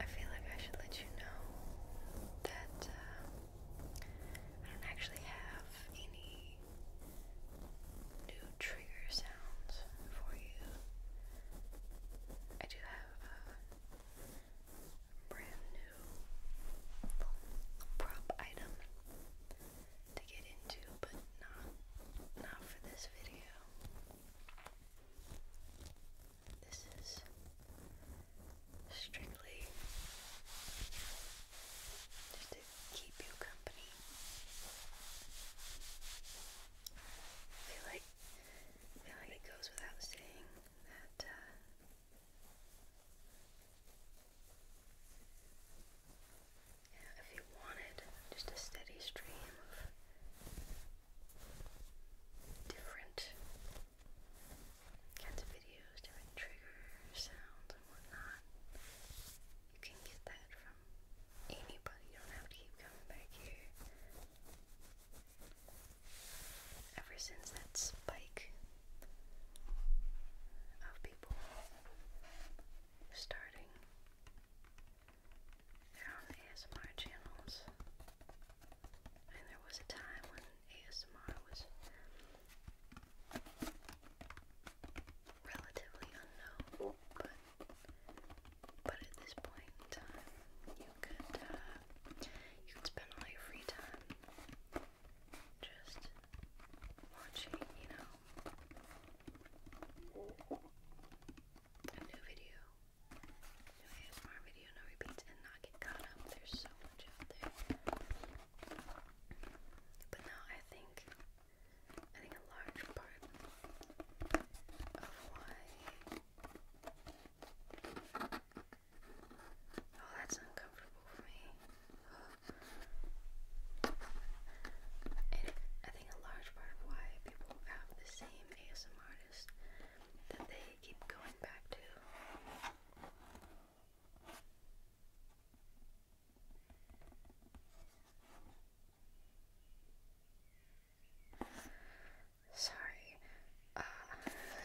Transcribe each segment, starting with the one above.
I feel like I should let you know that uh, I don't actually have any new trigger sounds for you. I do have a brand new prop item to get into, but not not for this video. This is strictly just to keep you company. I feel like feel like it goes without saying that uh, if you wanted just a steady stream of different kinds of videos, different trigger sounds and whatnot. You can get that from anybody. You don't have to keep coming back here. Ever since that spike of people starting they're ASMR channels. And there was a time when ASMR was relatively unknown, but but at this point in time, you could uh, you could spend all your free time just watching, you know, a new video so here's more video no repeats and not get caught up. There's so much out there. But now I think I think a large part of why Oh that's uncomfortable for me. And I think a large part of why people have the same ASM artist that they keep going back to. Sorry, uh,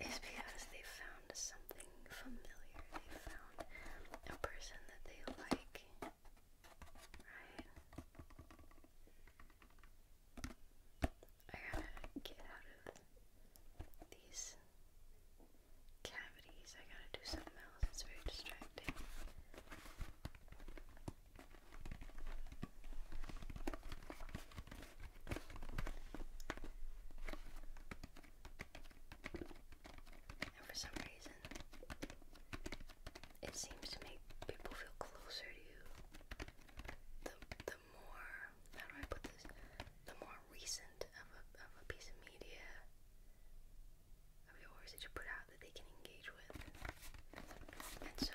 it's they found something familiar. They found a person that they like, Right. I gotta get out of these cavities. I gotta do something else. It's very distracting. for some reason, it seems to make people feel closer to you. The the more how do I put this? The more recent of a of a piece of media of yours that you put out that they can engage with. And so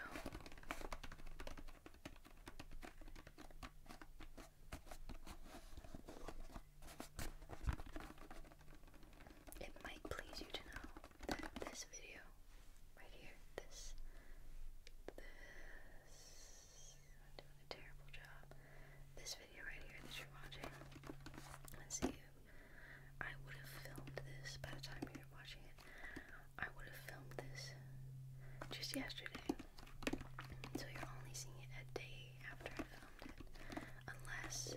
it might please you to know that this video right here, this, this, terrible job. This video right here that you're watching, let's see, I would have filmed this by the time you're watching it. I would have filmed this just yesterday, so you're only seeing it a day after I filmed it, unless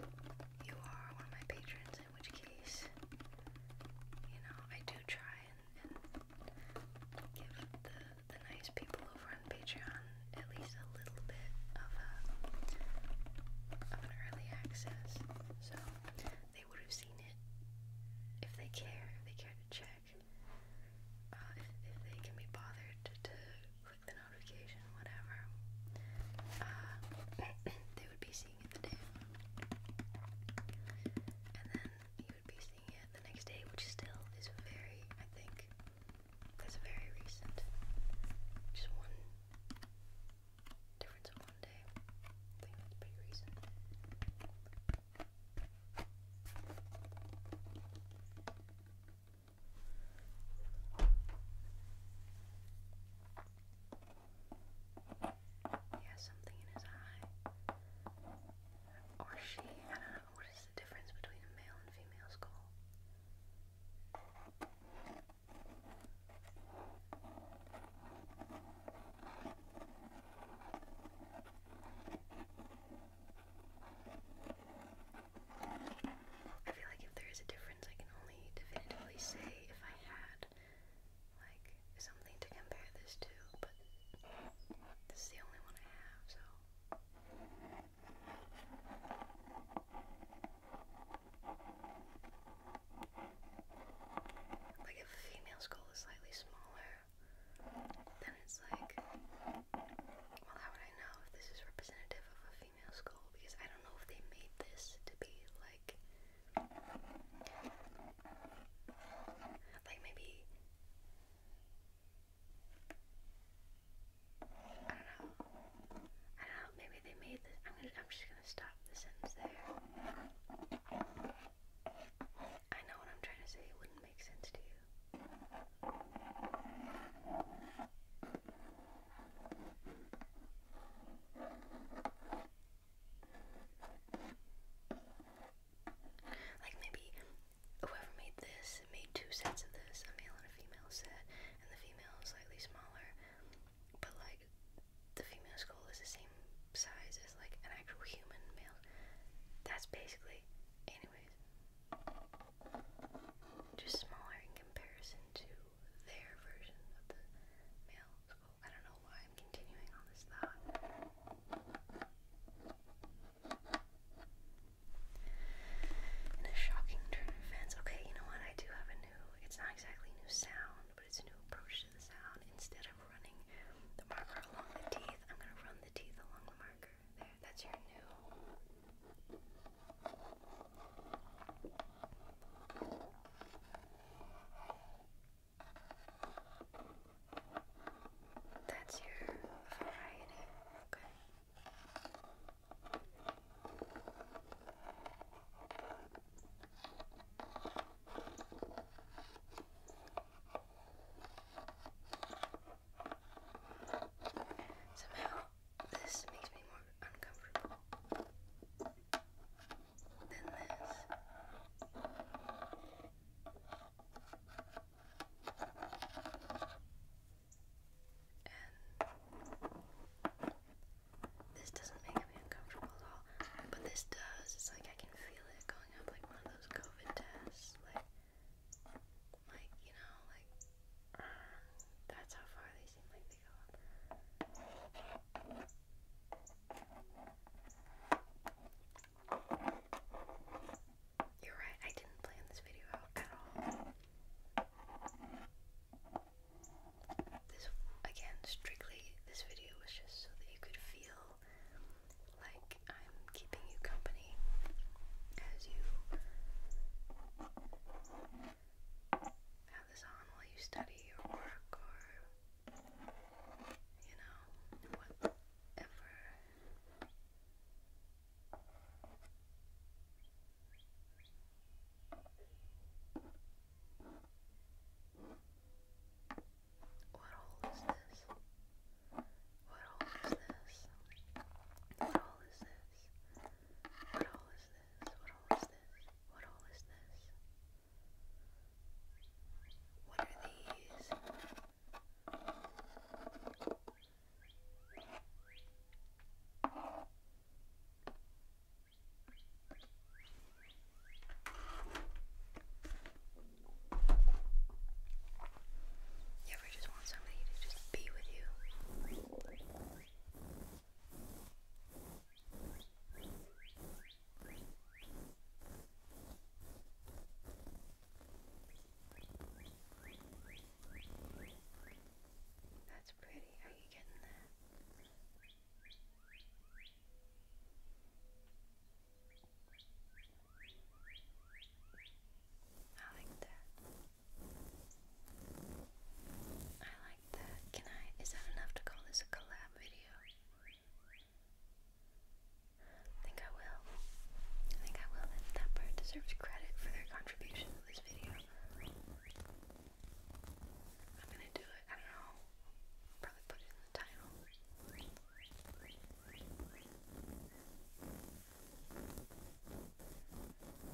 you are one of my patrons in which case, you know, I do try and, give the, the nice people over on Patreon at least a little bit of a of an early access. So they would have seen it if they care, if they care to check. Uh, if, they can be bothered to, click the notification, whatever. Uh, they would be seeing it and then you would be seeing it the next day, which still is very, I think, that's very recent. Just one difference in one day. pretty recent. He has something in his eye. Or she, I don't know. What is the difference between a male and female skull? I feel like if there is a difference, I can only definitively say if I had like something to compare this to, but this is the only one I have, so. Like if female skull is slightly smaller, then it's like, well, how would I know if this is representative of a because I don't know if they made this to be like like maybe I don't know. I don't know, maybe they made this am I'm just gonna stop the sentence there. I know what I'm trying to say, it wouldn't make sense to you. Like maybe whoever made this made two sets of this, a male and a female set, and the female is slightly smaller, but like the female skull is the same size as like an actual human male. That's basically, anyways, just smaller in comparison to their version of the male I don't know why I'm continuing on this thought. In a shocking turn of events, okay, you know what? I do have a new, it's not exactly new sound, but it's a new approach to the sound. Instead of running the marker along the teeth, I'm gonna run the teeth along the marker. There, that's your new that's your variety. Okay. Somehow this makes me more uncomfortable than this. And this doesn't make me uncomfortable at all. But this does. It's like I can feel it going up like one of those COVID tests. Like like, you know, like that's how far they seem like you're right, I didn't plan this video out at all. This, again, strictly, this video was just so that you could feel like I'm keeping you company as you have this on while you study or work or, you know, whatever. What all is this? What hole is this? What hole is this? What all is this? What all is this? What all is this? What are these? You ever just want somebody to just be with you? That's pretty. Are you getting that? I like that. I like that. Can I? Is that enough to call this a collab video? think I will. I think I will. That, that bird deserves credit for their contribution to this video. I'm gonna do it. I don't know. Probably put it in the title.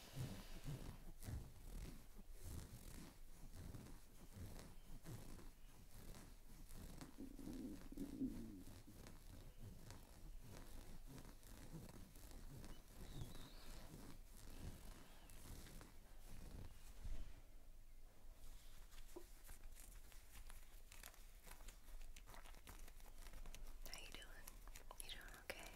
How you doing? You doing okay?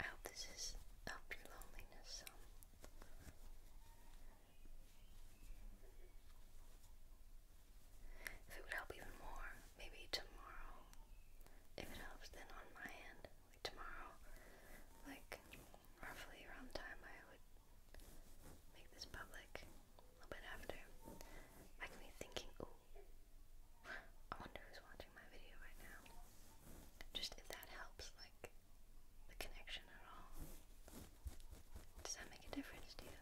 I hope this has helped your loneliness some. If it would help even more, maybe tomorrow. If it helps, then on my end, like tomorrow, like roughly around time I would make this public, a little bit after, I can be thinking, ooh, I wonder who's watching my video right now. Just if that helps, like the connection at all. Does that make a difference to you?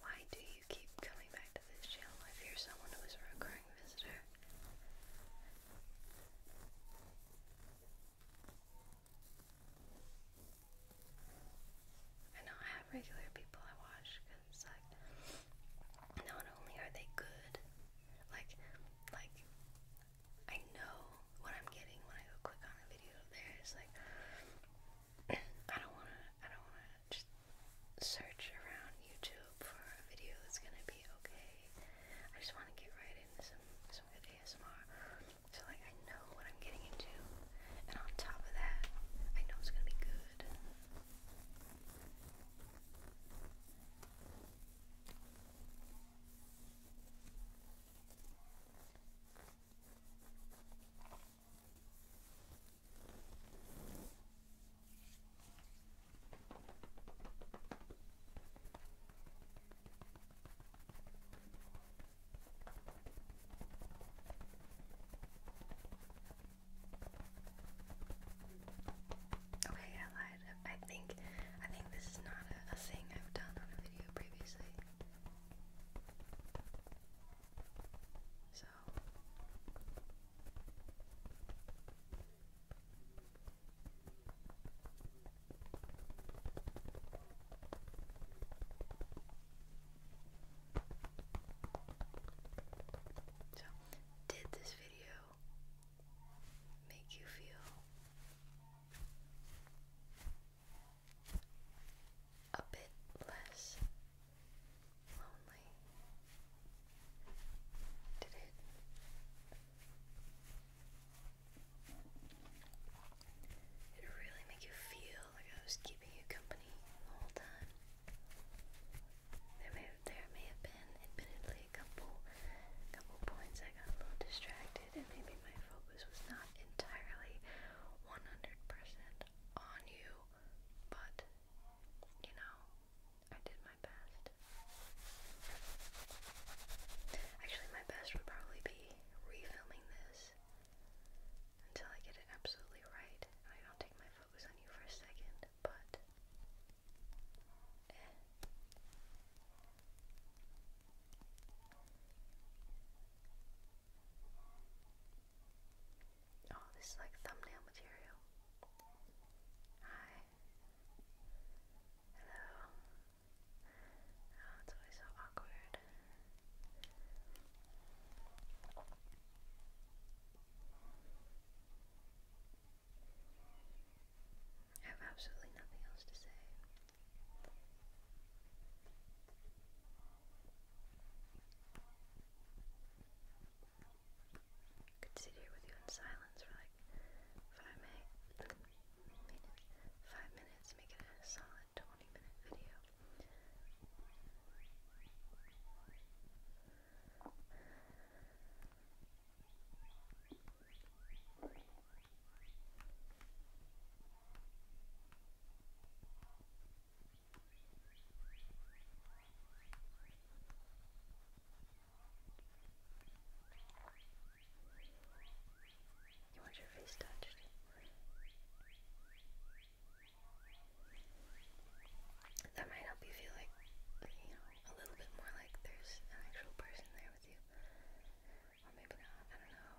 Why do you keep coming back to this channel if you someone who is a recurring visitor? I know I have regular people I watch because like not only are they good, like like I know what I'm getting when I go click on a video of theirs. Like I don't wanna I don't wanna just search around YouTube for a video that's gonna be okay. I just wanna get right into some so with ASMR. So like I know what I'm getting into, and on top of that, I know it's gonna be good. Okay, I lied. I think I think this is not a, thing I've done on a video previously. So so, did this video make you feel a bit less lonely? Did it it really make you feel like I was keeping you company the whole time. There may there may have been, admittedly, a couple, couple points I got a little distracted, and maybe my focus was not entirely 100% on you. But you know, I did my Actually, my best would probably be refilming this until I get it absolutely right. I don't take my focus on you for a second, but. Eh. Oh, this is like thumbnail material. Hi. Hello. Oh, it's always so awkward. I have absolutely nothing else to say. Could sit here with you in silence for like five minutes five minutes, make it a solid 20 minute video. You want your face touched? That might help you feel like, you know, a little bit more like there's an actual person there with you. Or maybe not, I don't know.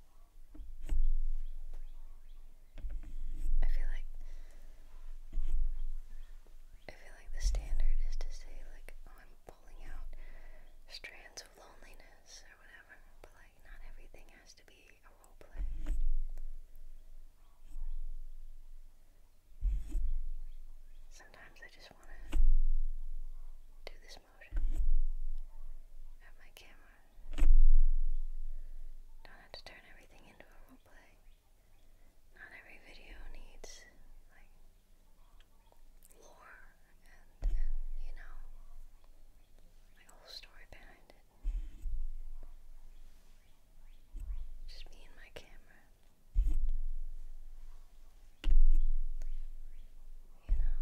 I feel like I feel like the standard is to say like, oh, I'm pulling out strands of loneliness or whatever, but like not everything has to be a role Sometimes I just want to do this motion my camera. Don't have to turn everything into a roleplay. Not every video needs like lore and you know like a whole story behind it. Just me and my camera. You know,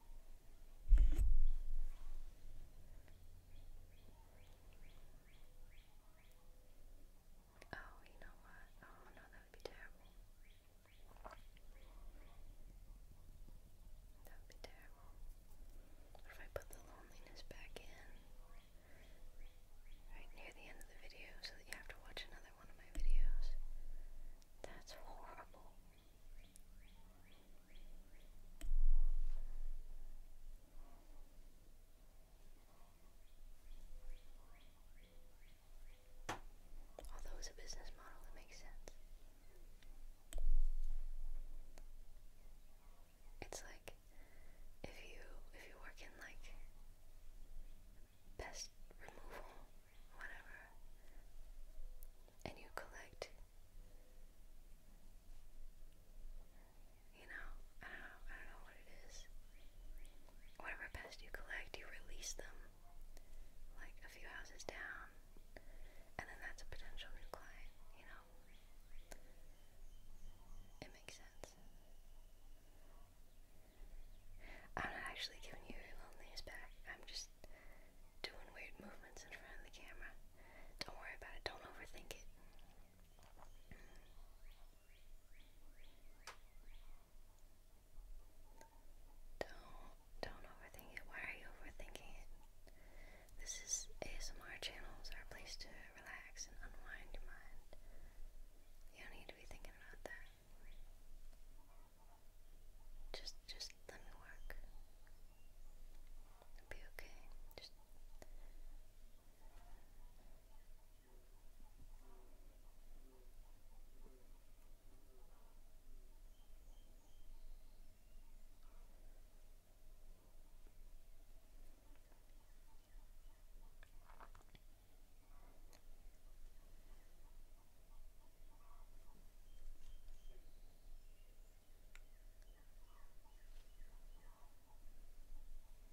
Oh, you know what? Oh no, that would be terrible. That would be terrible. What if I put the loneliness back in? Right near the end of the video so that you have to watch another that's horrible. Although it's a business model, it makes sense. It's like if you if you work in like pest removal whatever, and you collect, you know, I don't know, what it is. Whatever pest you collect, you release them like a few houses down, and then that's a potential new client, you know. It makes sense. I'm not actually giving you your loneliness back. I'm just doing weird movements in front of the camera. Don't worry about it. Don't overthink it. Don't don't overthink it. Why are you overthinking it? This is ASMR channels our place to relax and unwind your mind. You don't need to be thinking about that. Just just let me work. It'll be okay. Just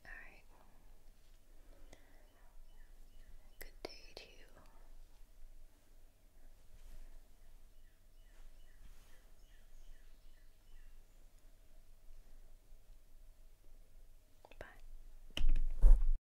all right. Good day to you. Bye.